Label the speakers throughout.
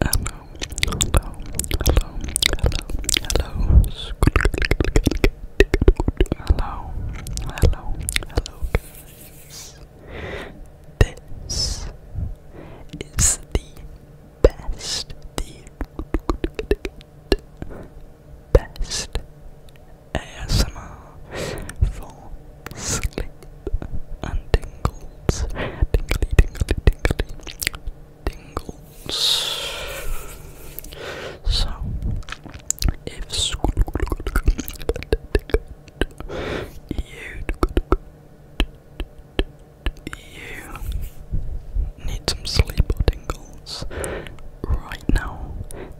Speaker 1: Hello, hello, hello, hello, hello. Hello, hello, hello, guys. This is the best, the best ASMR for sleep and tingle lips. Tingly, tingly, tingly. Tingles. So, if school you you need some sleep or tingles right now,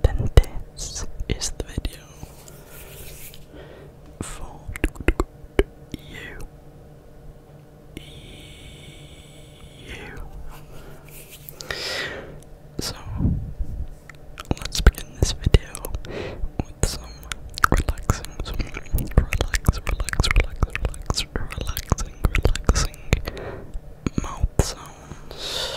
Speaker 1: then this is the video for you. So, let's begin this video with some relaxing, some relaxing, relaxing, relax, relaxing, relaxing mouth sounds.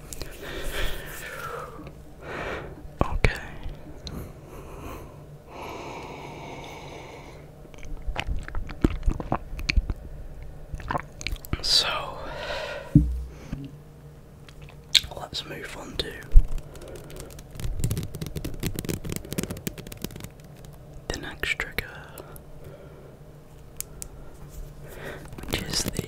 Speaker 1: Okay. So let's move on to the next trigger, which is the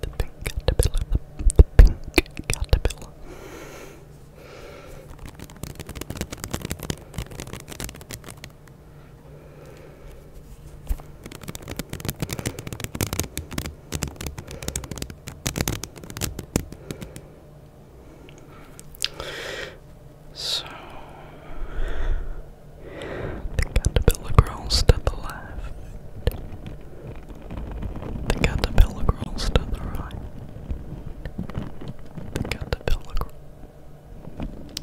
Speaker 1: the pink caterpillar, the pink caterpillar. So the caterpillar to the left. The caterpillar to the right. The caterpillar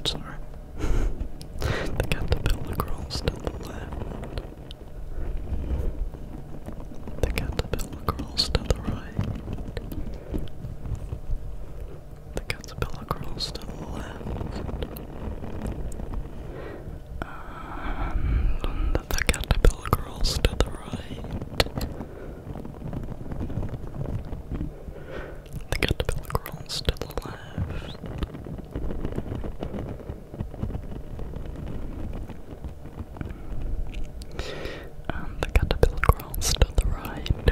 Speaker 1: Sorry. the caterpillar to the left. The caterpillar crawls to the right. The caterpillar crawls to the left. And the caterpillar crawls to the right. The caterpillar crawls to the left the caterpillar crawls to the right. And the caterpillar crawls to the left.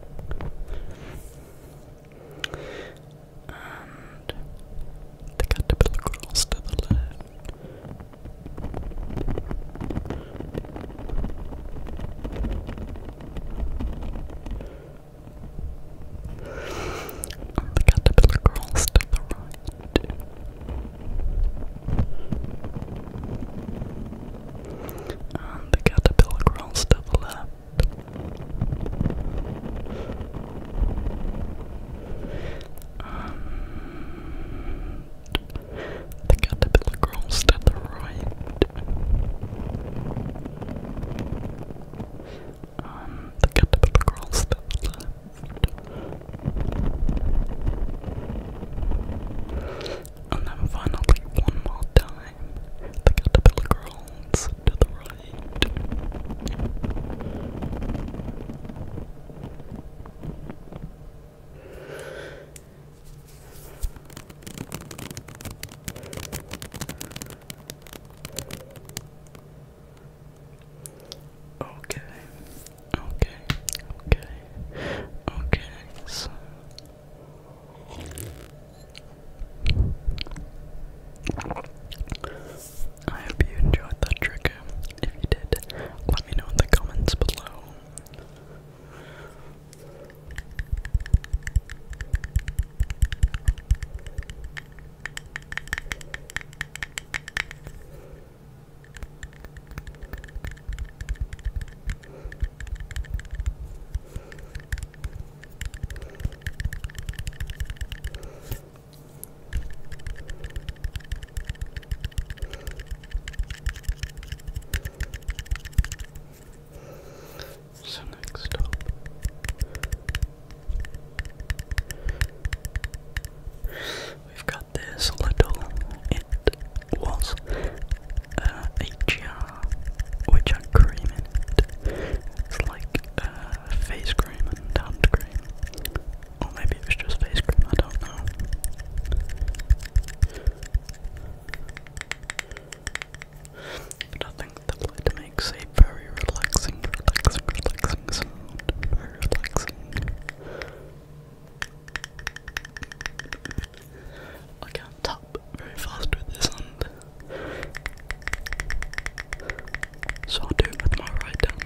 Speaker 1: And the caterpillar crawls to the left. And the caterpillar crawls to the right and um, the caterpillar crawls to the left. Um, the caterpillar crawls to the right. Um, the caterpillar crawls and then finally, one more time, the caterpillar crawls to the right. Okay, okay, okay, okay, I hope you enjoyed that trigger. If you did, let me know in the comments below. So next up We've got this little it was uh, which had cream It's like uh, face cream and hand cream. Or maybe it was just face cream, I don't know. I think the lid makes a very relaxing, relaxing, relaxing sound. Very relaxing. I can't tap very fast with this hand. So I'll do it with my right hand.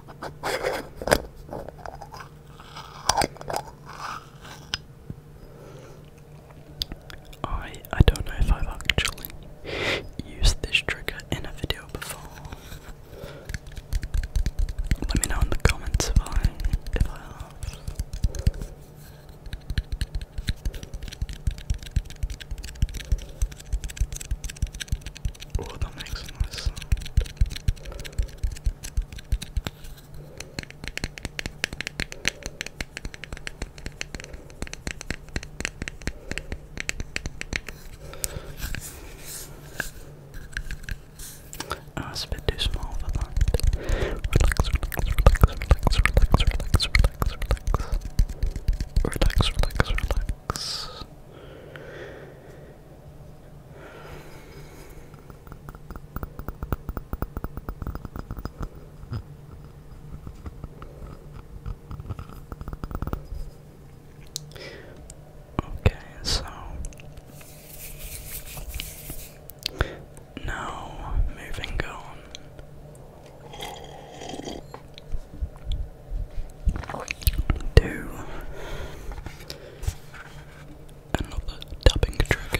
Speaker 1: I I don't know if I've actually used this trigger in a video before. Let me know in the comments if if I have. Oh, that makes a nice ah, bit too small for that. relax, relax, relax, relax, relax, relax, relax. Relax, relax, relax. Okay, so now moving on do another tapping trigger.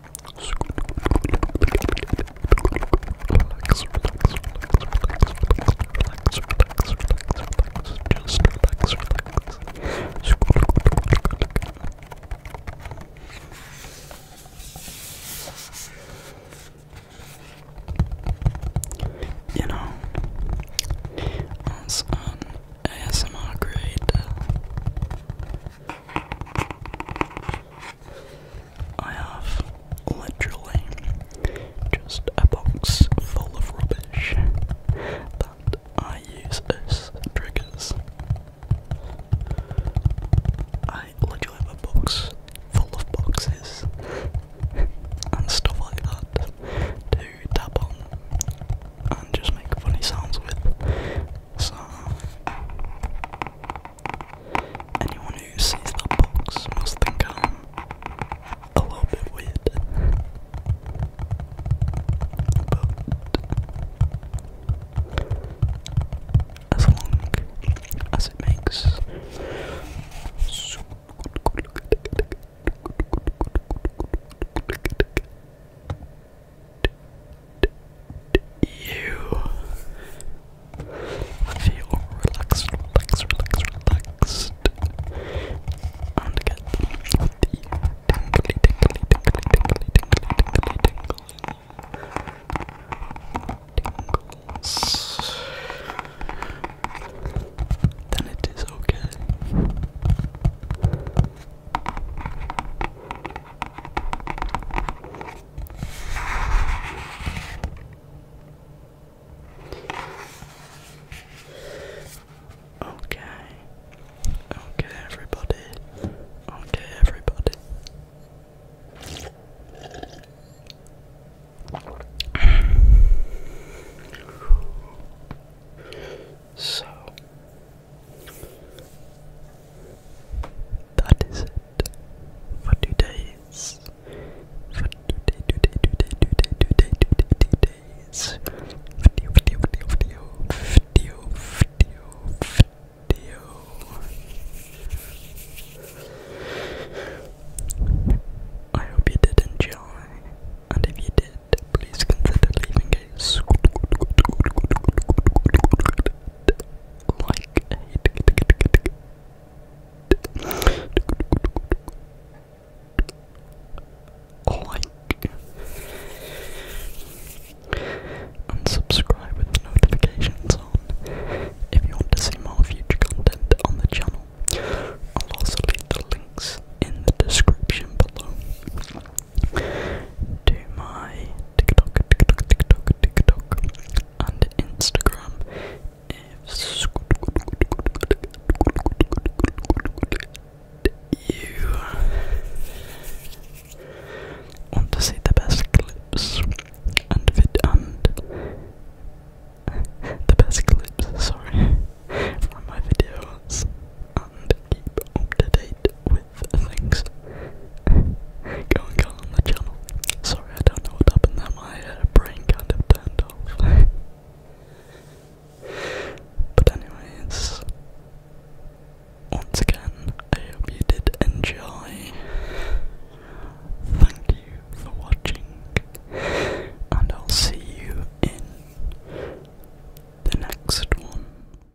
Speaker 2: relax, relax, relax, relax, relax, just relax, relax. You know, as
Speaker 1: an ASMR creator, I have literally just a box full of rubbish
Speaker 2: that
Speaker 1: I use as triggers. I literally have a box full of boxes and stuff like that to tap on and just make funny sounds with so, anyone who sees that box must think I'm a little bit weird. But, as long as it makes you feel relaxed, relaxed, relaxed, relaxed. And get the tingly, tingly, tingly, tingly, tingly, tingly, tingly, tingles. Then it is okay. Okay. Okay, everybody. Okay, everybody. So, that is it for today's for today today today today today today today's video video video video video video video I hope you did enjoy and if you did please consider leaving a like like and subscribe with notifications on if you want to see more future content on the channel. I'll also leave the links in the description below to my TikTok, TikTok, TikTok, TikTok, and Instagram. If you want to see the best clips and vid and the best clips, sorry, from my videos and keep up to date with things going on on the channel. Sorry, I don't know what happened there, my uh, brain kind of turned off. but, anyways, once again, I hope you did enjoy. Thank you for watching, and I'll see you in the next one.